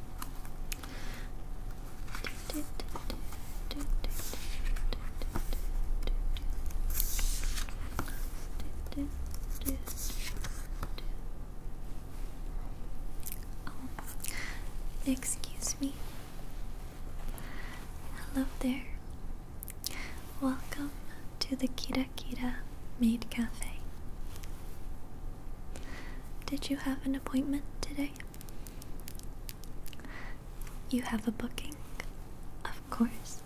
Oh, excuse me. Hello there. Welcome to the Kira Kira Maid Cafe. Did you have an appointment today? You have a booking? Of course.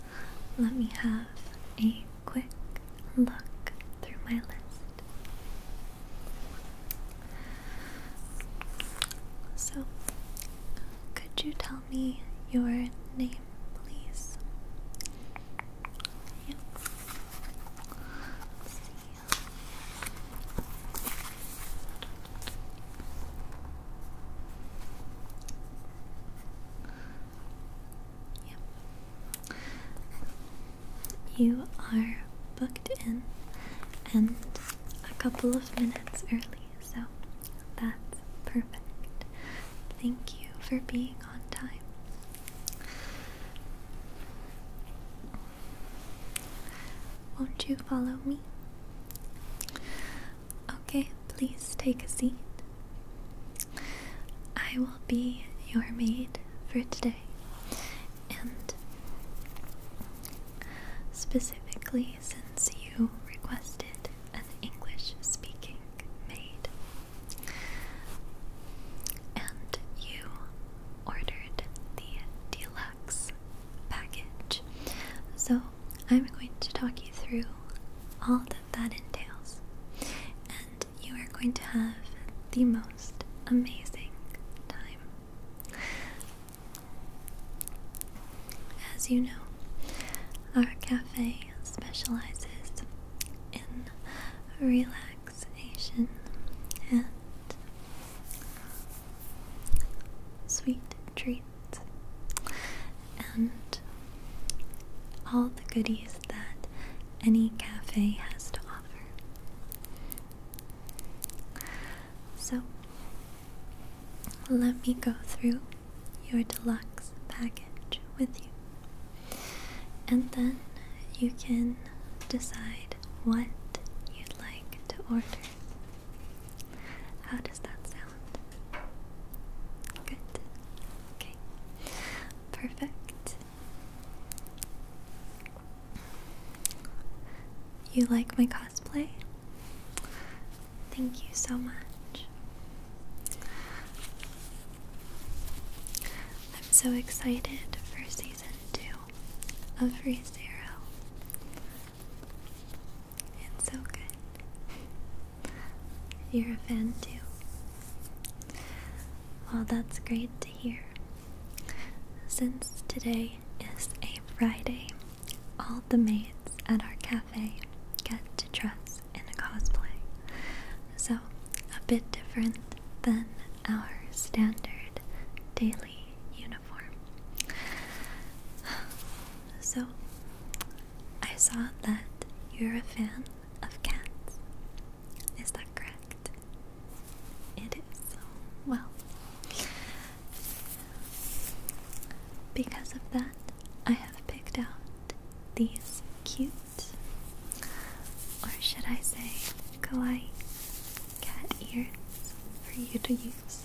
Let me have a quick look through my list. So, could you tell me your name, please? Yep. You are booked in and a couple of minutes early, so that's perfect. Thank you for being on time. Won't you follow me? Okay, please take a seat. I will be your maid for today, and specifically since you requested an English speaking maid, and you ordered the deluxe package. So I'm going to talk you through all that that entails, and you are going to have the most amazing time. As you know, our cafe specializes in relaxing relaxation and sweet treats and all the goodies that any cafe has to offer. So, let me go through your deluxe package with you, and then you can decide what you'd like to order. How does that sound? Good. Okay. Perfect. You like my cosplay? Thank you so much. I'm so excited for season two of ReZero. It's so good. You're a fan too. Well, that's great to hear. Since today is a Friday, all the maids at our cafe get to dress in a cosplay. So, a bit different than our standard daily uniform. So, I saw that you're a fan of cats. Is that correct? It is. Well, because of that, I have picked out these cute, or should I say, kawaii cat ears for you to use.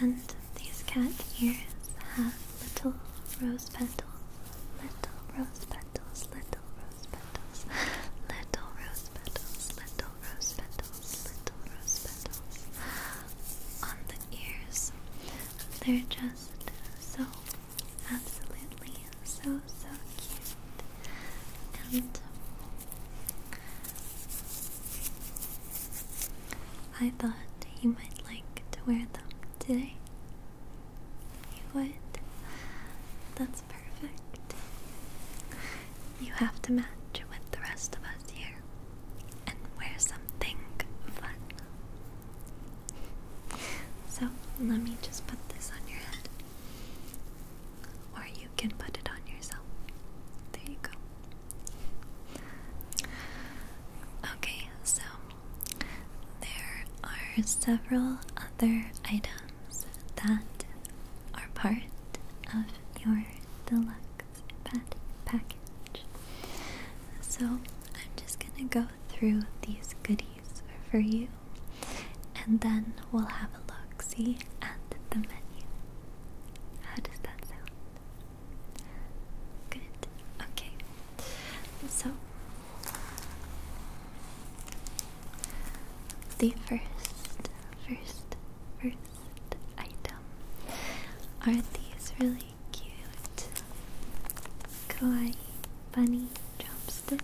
And these cat ears have little rose petals, little rose petals, little rose petals, little rose petals, little rose petals, little rose petals on the ears. They're just so absolutely so so cute and I thought you might like to wear them today. You would? That's perfect. You have to match with the rest of us here and wear something fun. So let me just put this on your head. Or you can put it on yourself. There you go. Okay, so there are several other items that are part of your deluxe pet package. So I'm just gonna go through these goodies for you and then we'll have a look see at the menu. How does that sound? Good. Okay. So the first, first, first item are these really cute kawaii bunny chopsticks.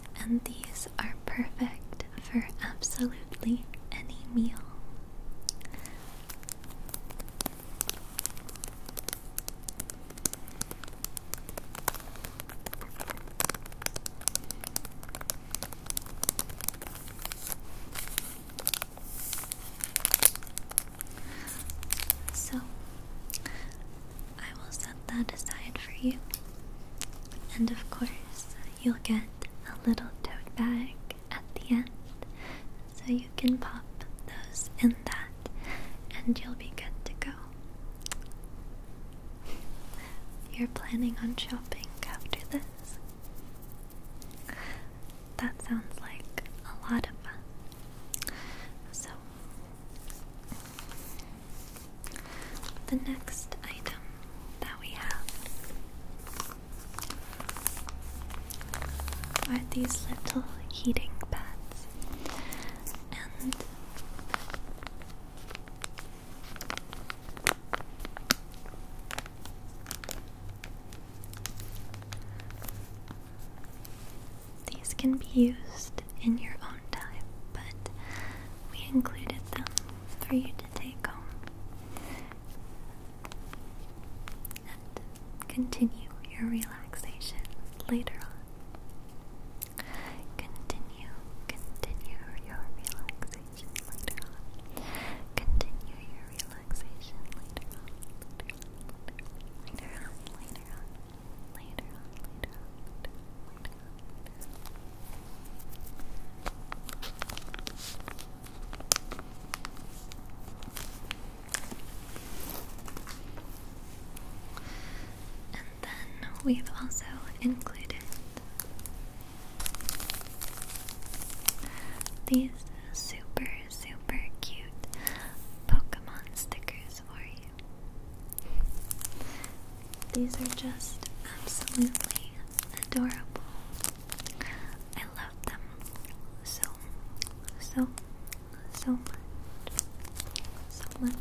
and these are perfect for absolutely any meal. So, I will set that aside for you. And of course, you'll get a little tote bag at the end. So you can pop those in that and you'll be good to go. You're planning on shopping after this? That sounds like a lot of fun. So, the next item that we have are these little heating pads, and these can be used in your own time, but we included them for you to take home and continue your relaxation later on. Continue, continue your relaxation later on. Continue your relaxation later on. Later on, later on, later on, later on, later on. And then we've also included these super, super cute Pokemon stickers for you. These are just absolutely adorable. I love them so, so, so much. So much.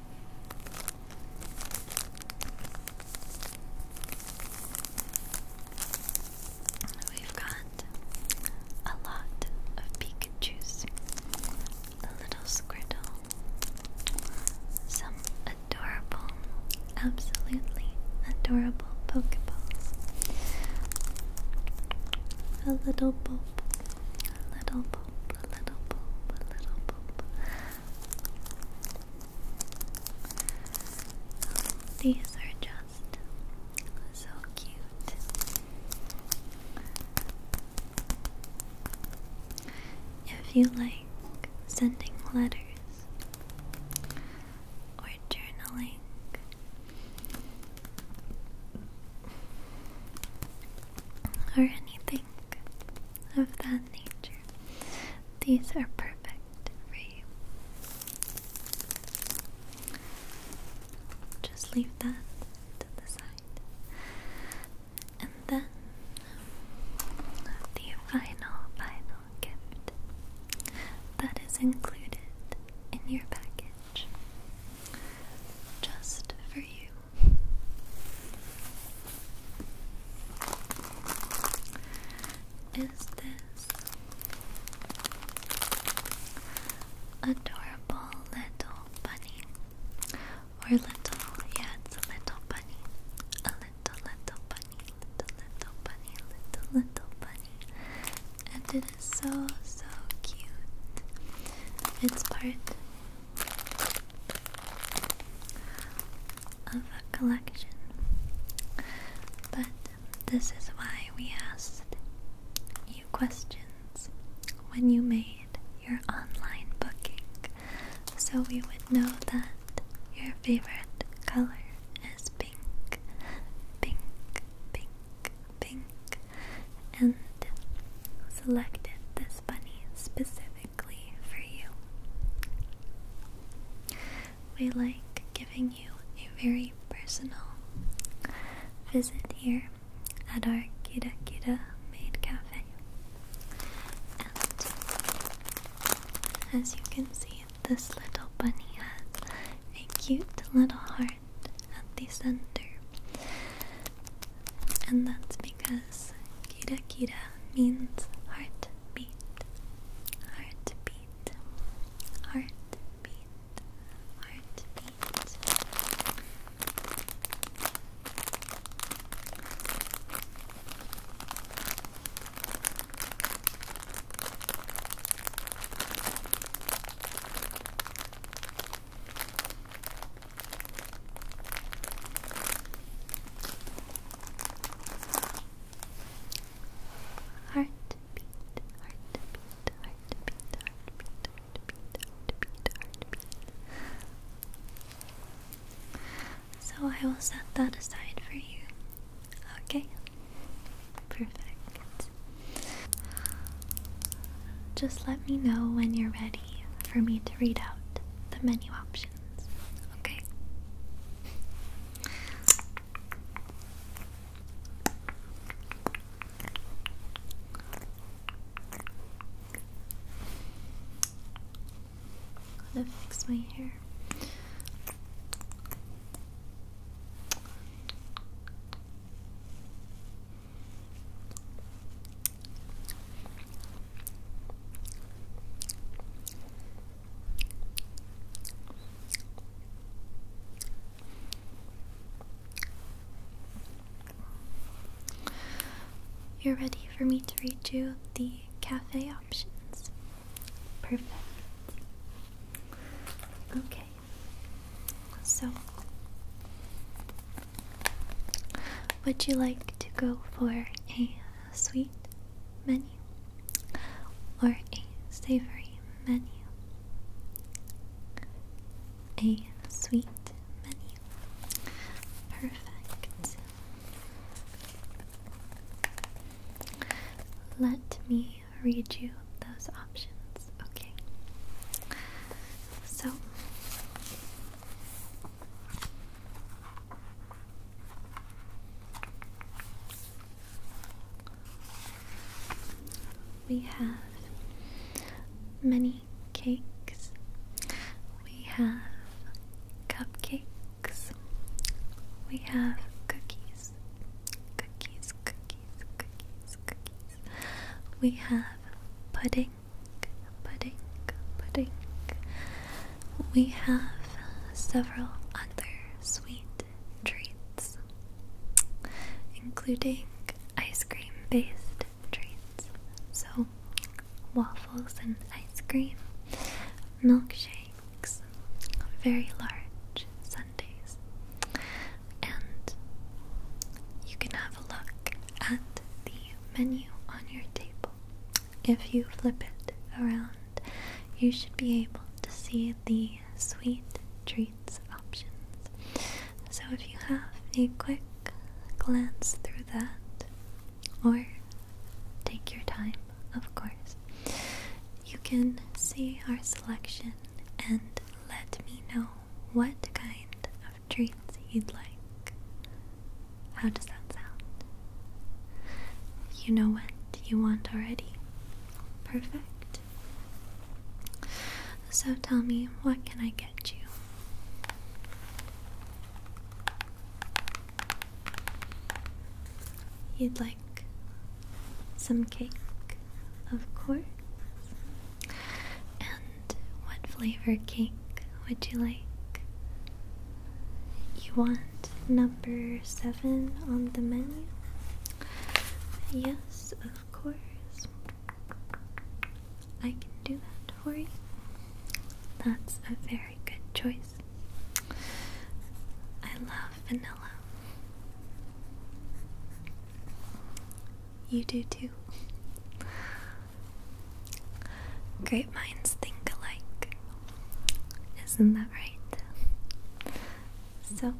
We've got a lot of Pikachu's, a little Squirtle, some adorable, absolutely adorable Pokeballs, a little Bulb, a little Bulb, a little Bulb, a little Bulb, these are just so cute. If you like sending letters or journaling, or anything of that nature. These are perfect for you. Just leave that to the side. And then the final, final gift that is included in your package just for you. Is this adorable little bunny? Or little, yeah, it's a little bunny. A little, little bunny, little, little bunny, little, little bunny. And it is so, so cute. It's part of a collection. But this is why we asked you questions when you made your online booking so we would know that your favorite color is pink, pink, pink, pink, and selected this bunny specific for you. We like giving you a very personal visit here at our Kita Kita Maid Cafe. And as you can see, this little bunny has a cute little heart at the center. And that's because Kita Kita means heart Heartbeat, heartbeat, heartbeat, heartbeat. Heartbeat, heartbeat, heartbeat, heartbeat, heartbeat, heartbeat. So I will set that aside for you. Okay? Perfect. Just let me know when you're ready for me to read out the menu options. Okay. Gotta fix my hair. You're ready for me to read you the cafe options. Perfect. Okay. So, would you like to go for a sweet menu or a savory menu, a sweet menu. Perfect. Let me read you those options, okay? So we have many cakes. We have cupcakes. We have cookies. Cookies, cookies, cookies, cookies. We have pudding, pudding, pudding we have several other sweet treats, including ice cream based treats. So, waffles and ice cream, milkshakes, very large sundaes, and you can have a look at the menu on your table if you flip it around, you should be able to see the sweet treats options. So if you have a quick glance through that, or take your time, of course, you can see our selection and let me know what kind of treats you'd like. How does that sound? You know what you want already. Perfect. So tell me, what can I get you? You'd like some cake, of course. And what flavor cake would you like? You want number seven on the menu? Yes, of course. I can do that for you. That's a very good choice. I love vanilla. You do too. Great minds think alike. Isn't that right? So,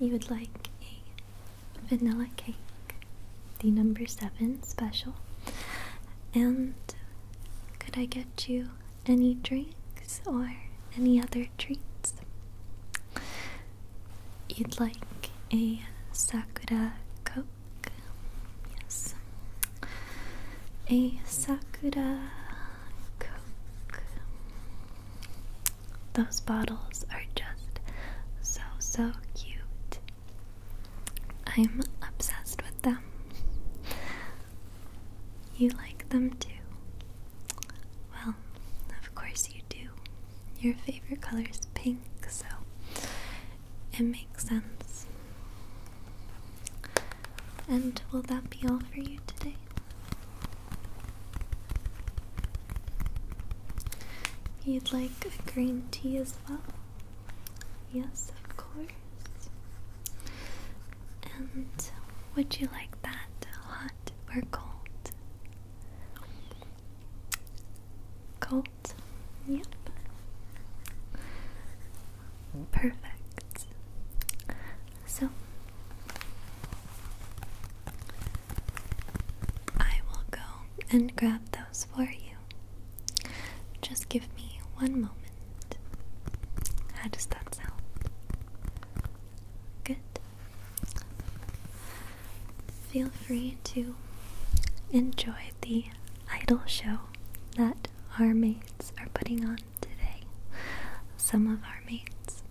you would like a vanilla cake, the number seven special. And could I get you any drinks or any other treats? You'd like a Sakura Coke? Yes a Sakura Coke. Those bottles are just so, so cute. I'm obsessed with them. You like them too? Well, of course you do. Your favorite color is pink, so it makes sense. And will that be all for you today? You'd like a green tea as well? Yes, of course. And would you like that hot or cold? Cold? Yep. Perfect. So I will go and grab those for you. Just give me one moment. How does that sound? Good. Feel free to enjoy the idol show that our maids are putting on today, some of our mates.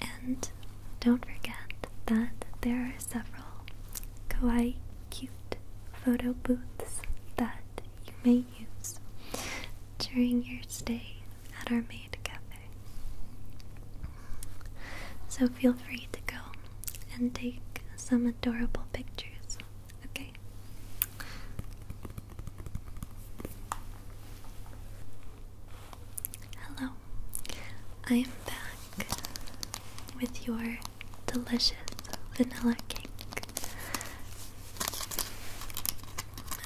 And don't forget that there are several kawaii cute photo booths that you may use during your stay at our maid cafe. So feel free to go and take some adorable pictures, okay? Hello, I am back with your delicious vanilla cake.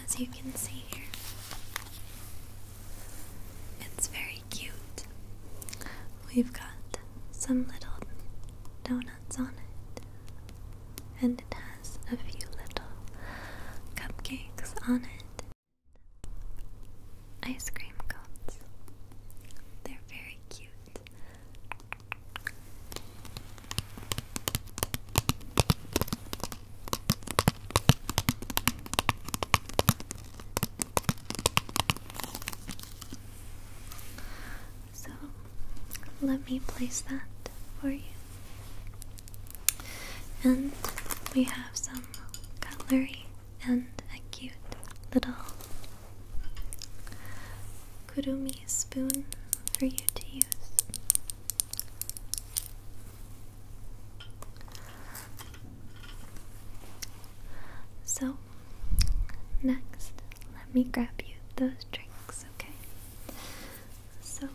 As you can see here, it's very cute. We've got some little donuts on it, and it has a few little cupcakes on it. Ice cream cones. They're very cute. So let me place that for you. And we have some cutlery and a cute little kurumi spoon for you to use. So, next, let me grab you those drinks, okay? So,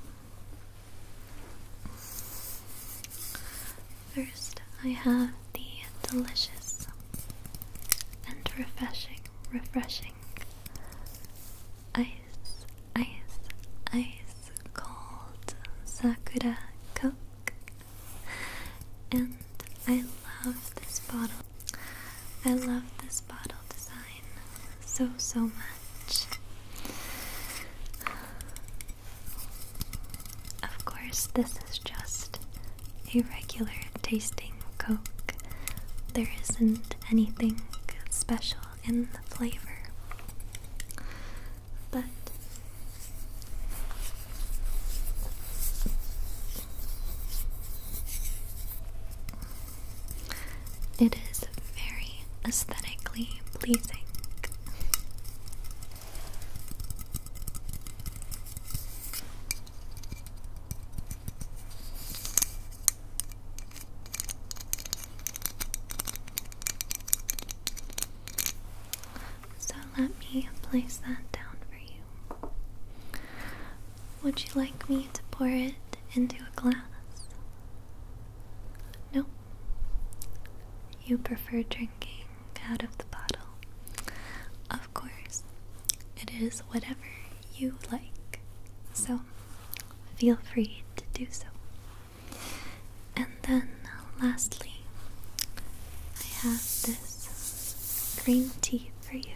first I have the delicious and refreshing, refreshing ice, ice, ice cold Sakura Coke. And I love this bottle I love this bottle design so, so much. Of course, this is just a regular tasting Coke. There isn't anything special in the flavor. But it is very aesthetically pleasing. So let me place that down for you. Would you like me to pour it into a glass? No. You prefer drinking out of the bottle. Of course, it is whatever you like, so feel free to do so. And then, lastly, I have this green tea for you.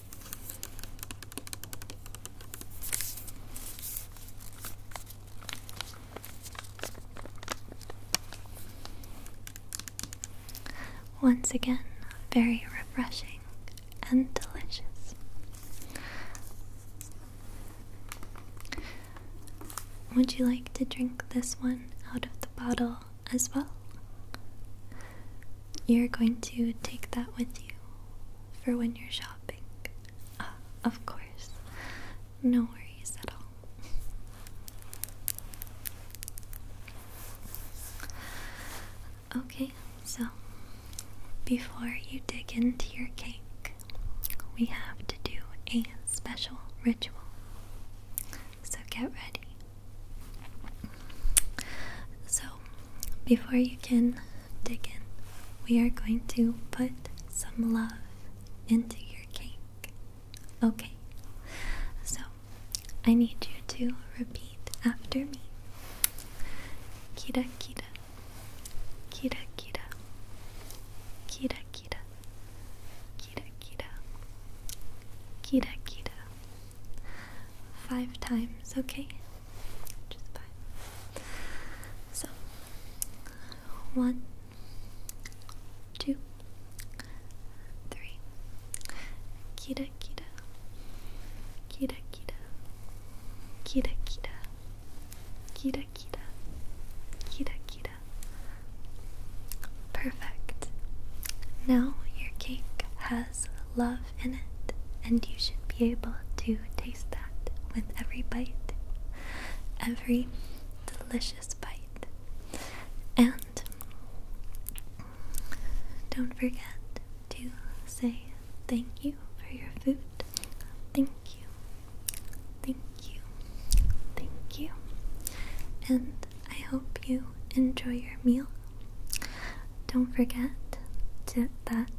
Once again, very refreshing and delicious. Would you like to drink this one out of the bottle as well? You're going to take that with you for when you're shopping. Uh, of course. No worries at all. Okay, so before you dig into your cake, we have to do a special ritual. So get ready. So, before you can dig in, we are going to put some love into your cake. Okay, so I need you to repeat after me. Kira kira, kira kira, kira kira, kira kira, kira kira. Five times, okay? So, one, two, three. Kira, kira, kira, kira, kira, kira, kira, kira, Perfect. Now your cake has love in it, and you should be able to taste that with every bite, every delicious bite. And don't forget to say thank you for your food. Thank you, thank you, thank you. And I hope you enjoy your meal. Don't forget to, that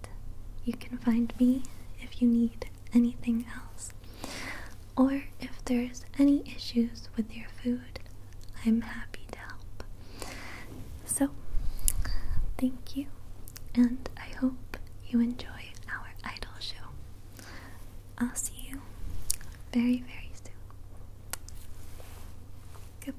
you can find me if you need anything else. Or if there's any issues with your food, I'm happy to help. So, thank you, and I hope you enjoy our idol show. I'll see you very, very soon. Goodbye.